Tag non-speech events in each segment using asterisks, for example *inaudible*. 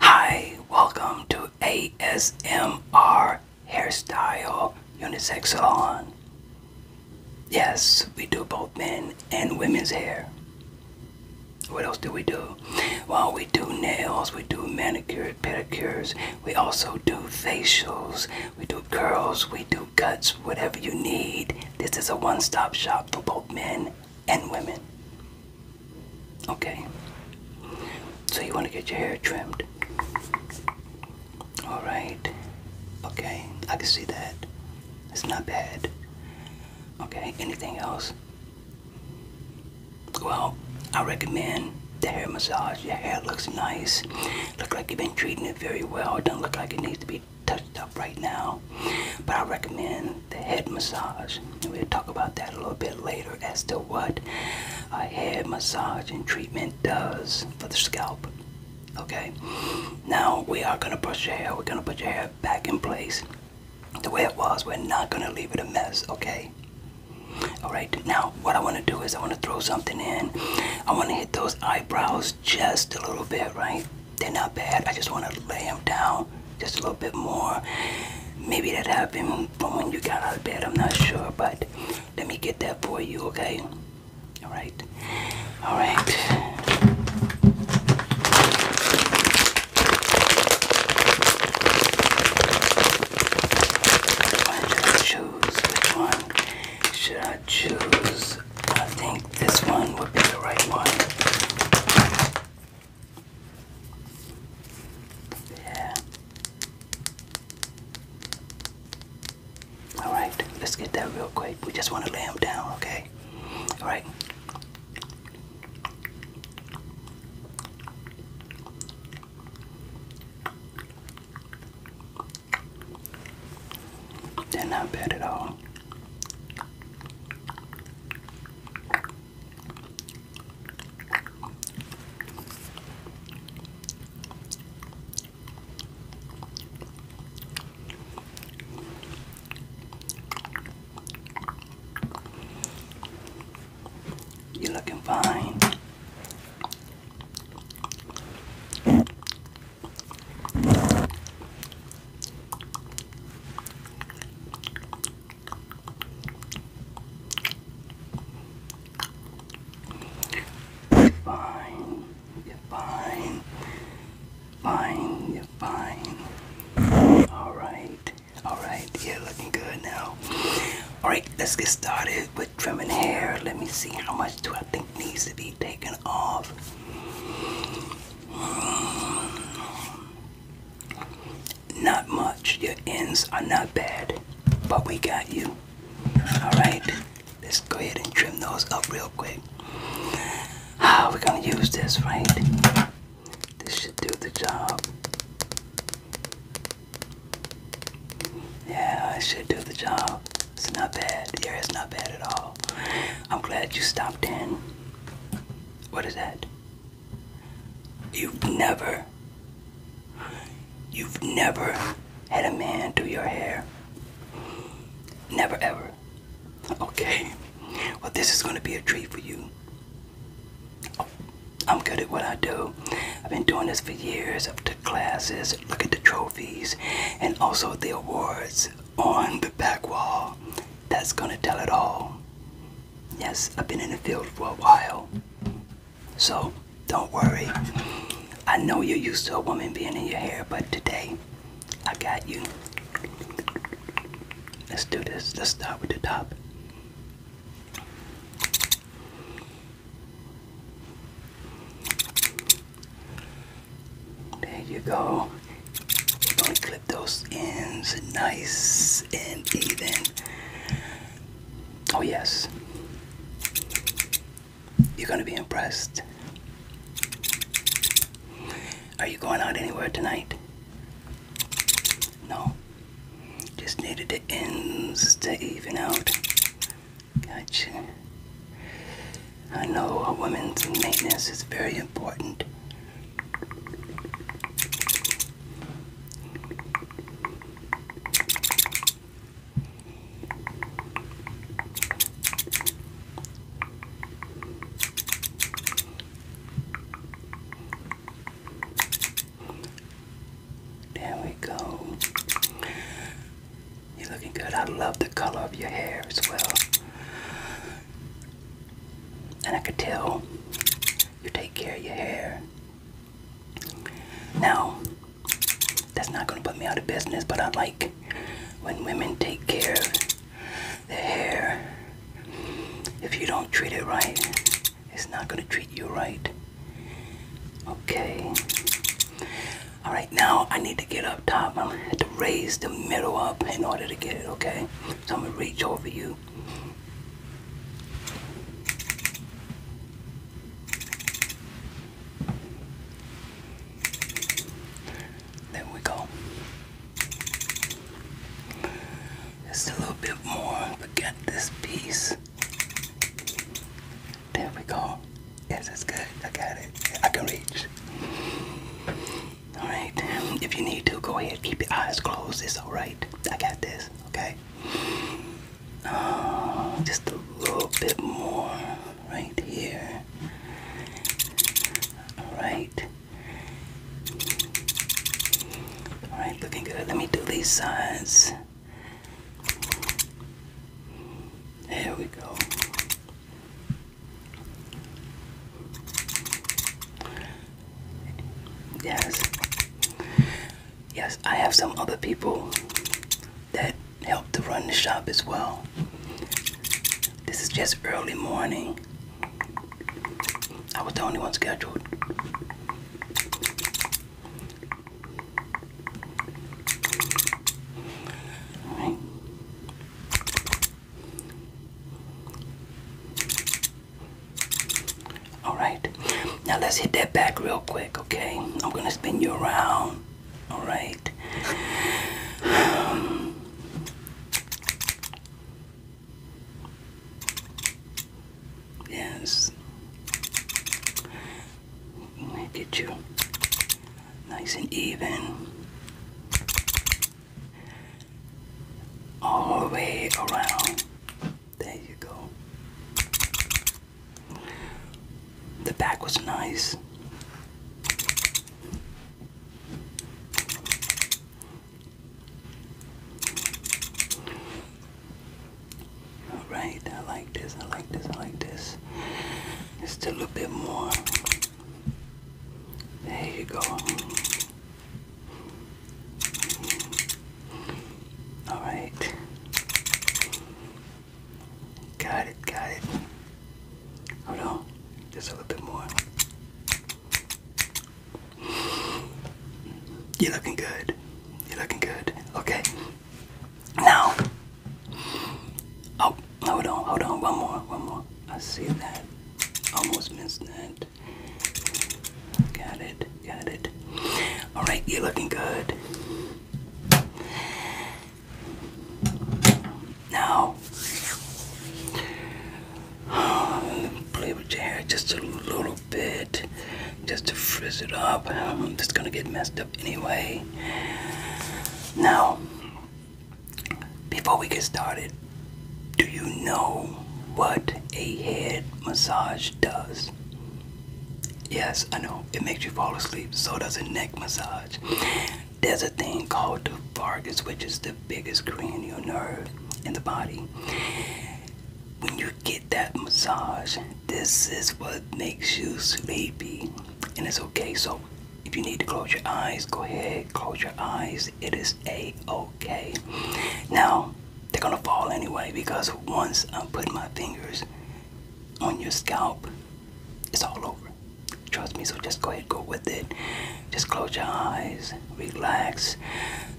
Hi, welcome to ASMR Hairstyle Unisex Salon. Yes, we do both men and women's hair. What else do we do? Well, we do nails, we do manicure, pedicures, we also do facials, we do curls, we do cuts, whatever you need. This is a one stop shop for both men and women. Okay. So you want to get your hair trimmed. Alright. Okay. I can see that. It's not bad. Okay. Anything else? Well, I recommend the hair massage. Your hair looks nice. Look like you've been treating it very well. It doesn't look like it needs to be touched up right now. But I recommend the head massage. And we'll talk about that a little bit later as to what a head massage and treatment does for the scalp. Okay, now we are gonna brush your hair. We're gonna put your hair back in place the way it was. We're not gonna leave it a mess. Okay. All right. Now what I want to do is I want to throw something in. I want to hit those eyebrows just a little bit, right? They're not bad. I just want to lay them down just a little bit more. Maybe that happened from when you got out of bed. I'm not sure, but let me get that for you, okay? All right. All right. should I choose? Which one should I choose? I think this one would be the right one. Yeah. All right, let's get that real quick. We just want to lay them down, okay? All right. They're not bad at all. You're looking fine. You're fine. You're fine. Fine. You're fine. All right. All right. You're looking good now. All right. Let's get started with trimming hair. Let me see how much do I think needs to be taken off. Not much. Your ends are not bad, but we got you. Alright, let's go ahead and trim those up real quick. Ah, we're gonna use this, right? This should do the job. Yeah, it should do the job. It's not bad. Yeah, it's not bad at all. I'm glad you stopped in. What is that? You've never, you've never had a man do your hair. Never ever. Okay. Well, this is going to be a treat for you. Oh, I'm good at what I do. I've been doing this for years. I've took classes. Look at the trophies and also the awards on the back wall. That's going to tell it all. Yes, I've been in the field for a while. So, don't worry. I know you're used to a woman being in your hair, but today, I got you. Let's do this. Let's start with the top. There you go. clip those ends nice and even. Oh, yes. You're going to be impressed. Are you going out anywhere tonight? No. Just needed the ends to even out. Gotcha. I know a woman's maintenance is very important. There we go. You're looking good. I love the color of your hair as well. And I could tell you take care of your hair. Now, that's not gonna put me out of business, but I like when women take care of their hair. If you don't treat it right, it's not gonna treat you right. Okay. Alright, now I need to get up top. I'm gonna have to raise the middle up in order to get it, okay? So I'm gonna reach over you there we go. Just a little bit more, forget this piece. There we go. Yes, it's good. I got it. I can reach. Alright, if you need to, go ahead. Keep your eyes closed. It's alright. I got this, okay? Oh, just a little bit more right here. All right. All right, looking good. Let me do these sides. There we go. Yes. Yes, I have some other people that help to run the shop as well. This is just early morning. I was the only one scheduled. All right. Alright, now let's hit that back real quick, okay? I'm gonna spin you around, alright? yes. Get you nice and even. All the way around. There you go. The back was nice. Alright, I like this, I like this, I like this. Just a little bit more. There you go. All right. Got it, got it. Hold on, just a little bit more. You're looking good. You're looking good. Okay. Now. Oh, hold on, hold on. One more, one more. I see that. Almost missed that. Got it. Got it. All right, you're looking good. Now, *sighs* play with your hair just a little bit, just to frizz it up. Um, it's gonna get messed up anyway. Now, before we get started, do you know what a head massage does? Yes, I know it makes you fall asleep. So does a neck massage. There's a thing called the vagus, which is the biggest cranial nerve in the body. When you get that massage, this is what makes you sleepy, and it's okay. So, if you need to close your eyes, go ahead, close your eyes. It is a okay. Now, they're gonna fall anyway because once I put my fingers on your scalp, it's all over. Trust me, so just go ahead, go with it. Just close your eyes, relax,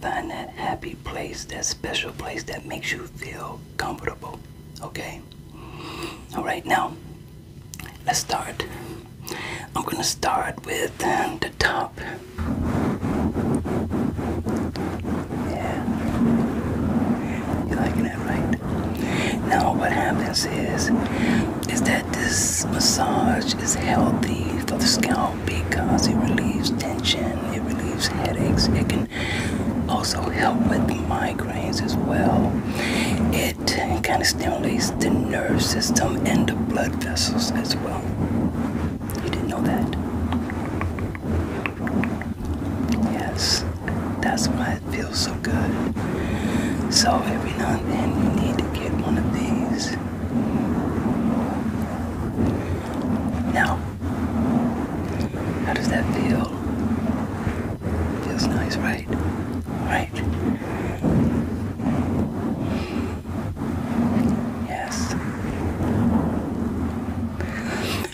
find that happy place, that special place that makes you feel comfortable. Okay? Alright, now let's start. I'm gonna start with the top yeah. You liking that, right? Now what happens is, is that this massage is healthy for the scalp because it relieves tension, it relieves headaches, it can also help with migraines as well. It kind of stimulates the nerve system and the blood vessels as well. You didn't know that? Yes, that's why it feels so good. So every now and then you need to get one of these. Now, how does that feel? Feels nice, right? Right. Yes.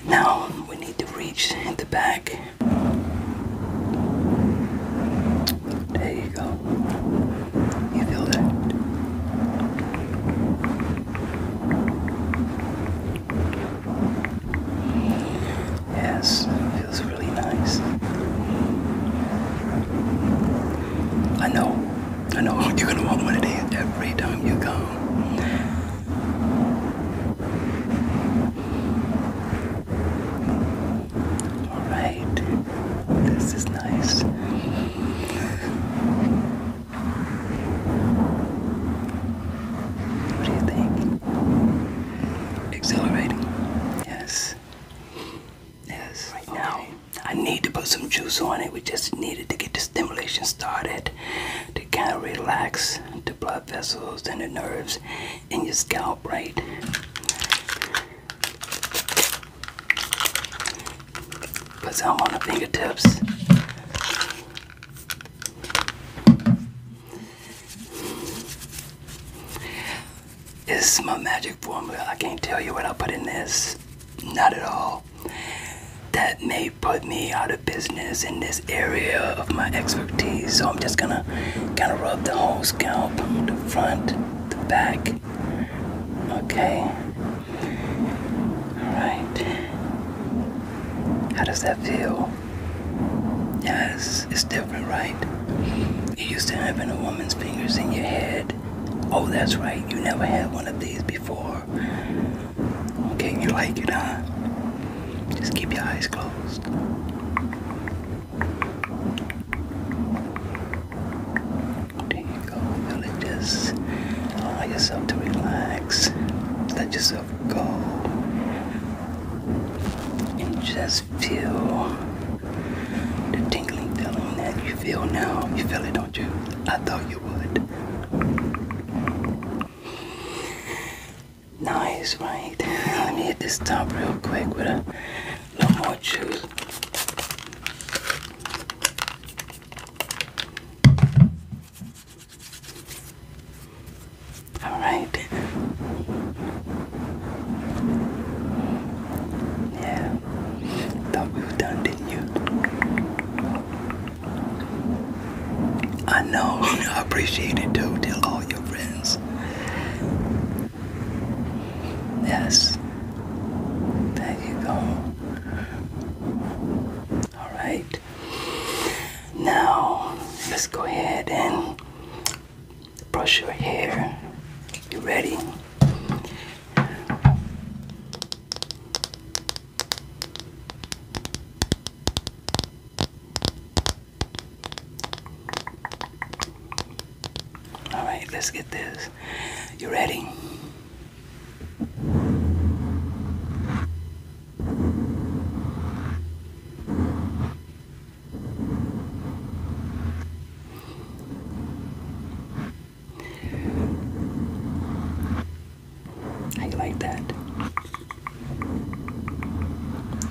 Now we need to reach in the back. There you go. You feel that? Yes, feels really nice. I know I know you're gonna want one of these every time you go. Alright, this is nice. What do you think? Exhilarating? Yes. Yes. Right now, I need to put some juice on it. We just needed to get the stimulation started to kind of relax the blood vessels and the nerves in your scalp, right? Because i on the fingertips. This my magic formula. I can't tell you what I put in this. Not at all that may put me out of business in this area of my expertise. So I'm just gonna kind of rub the whole scalp, the front, the back. Okay. All right. How does that feel? Yes, yeah, it's different, right? You used to having a woman's fingers in your head. Oh, that's right. You never had one of these before. Okay, you like it, huh? Just keep your eyes closed. There you go. just allow yourself to relax. Let yourself go. And just feel the tingling feeling that you feel now. You feel it, don't you? I thought you would. Nice, right? Let me hit this top real quick with a little more juice. All right. Yeah. Thought we were done, didn't you? I know, *laughs* I appreciate it too. Tell all your friends. Yes. There you go. Alright. Now, let's go ahead and brush your hair. You ready? All right, let's get this. You ready? I like that.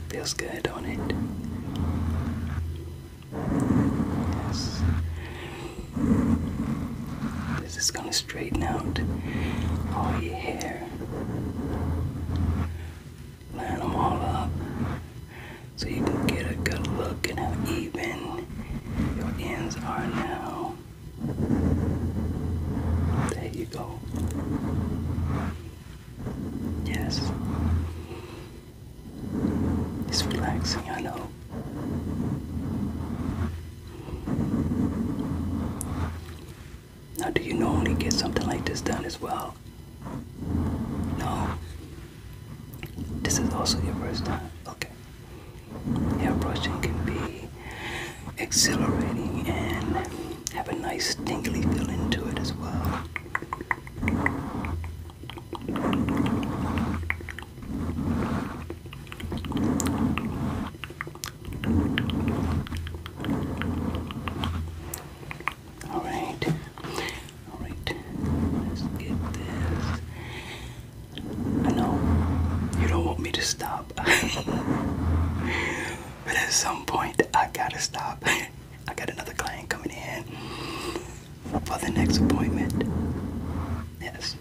Feels good on it. This is gonna straighten out all your hair. Line them all up so you can get a good look at how even your ends are now. There you go. Yes. It's relaxing, I know. Now, do you normally get something like this done as well? No. This is also your first time. Okay. Airbrushing can be exhilarating and have a nice tingly feel into it as well. All right, all right, let's get this I know you don't want me to stop, *laughs* but at some point I gotta stop. I got another client coming in for the next appointment. Yes.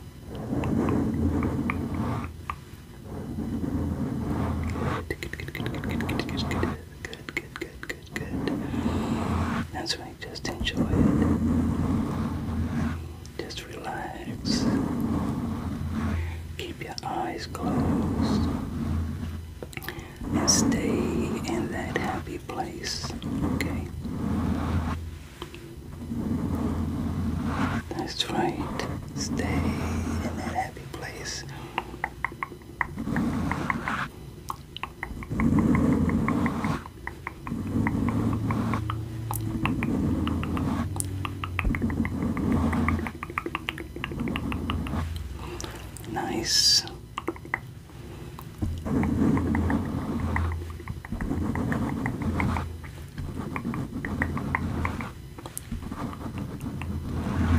Good, good, good, good, good, good, good, good, good. Good, good, good, good, good. That's right, just enjoy it. Just relax. Keep your eyes closed and stay in that happy place. Okay. That's right. Stay in that happy place. Nice.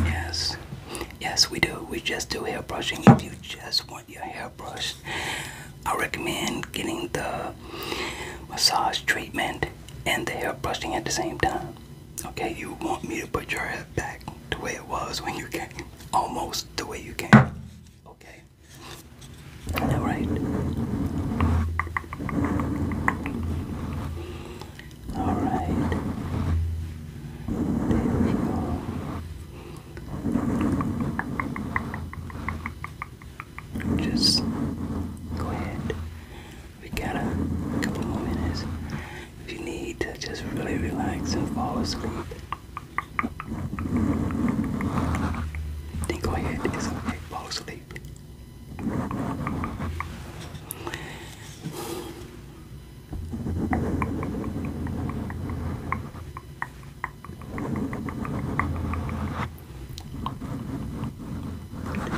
Yes, yes, we do. We just do hair brushing. If you just want your hair brushed, I recommend getting the massage treatment and the hair brushing at the same time. Okay, you want me to put your hair back the way it was when you came, almost the way you came. Okay, all right, all right. Just go ahead. We got a couple more minutes. If you need to just really relax and fall asleep, then go ahead. It's okay. Fall asleep.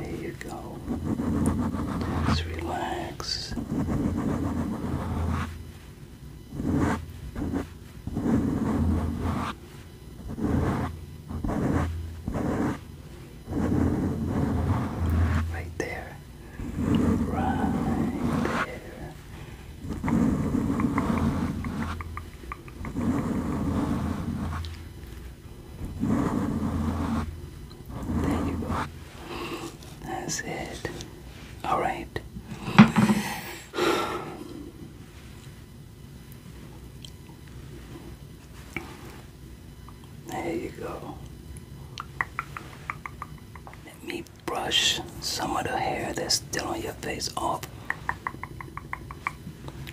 There you go. let relax. Right there. Right there. There you go. That's it. All right. There you go. Let me brush some of the hair that's still on your face off.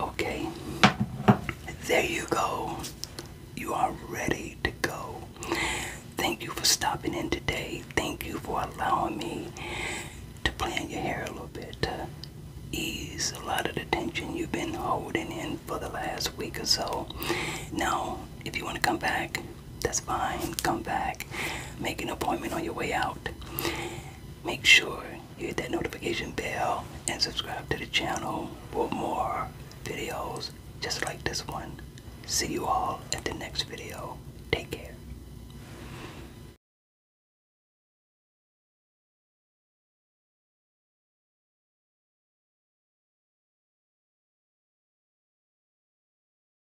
Okay, there you go. You are ready to go. Thank you for stopping in today. Thank you for allowing me to plan your hair a little bit to ease a lot of the tension you've been holding in for the last week or so. Now, if you want to come back, that's fine. Come back. Make an appointment on your way out. Make sure you hit that notification bell and subscribe to the channel for more videos just like this one. See you all at the next video. Take care.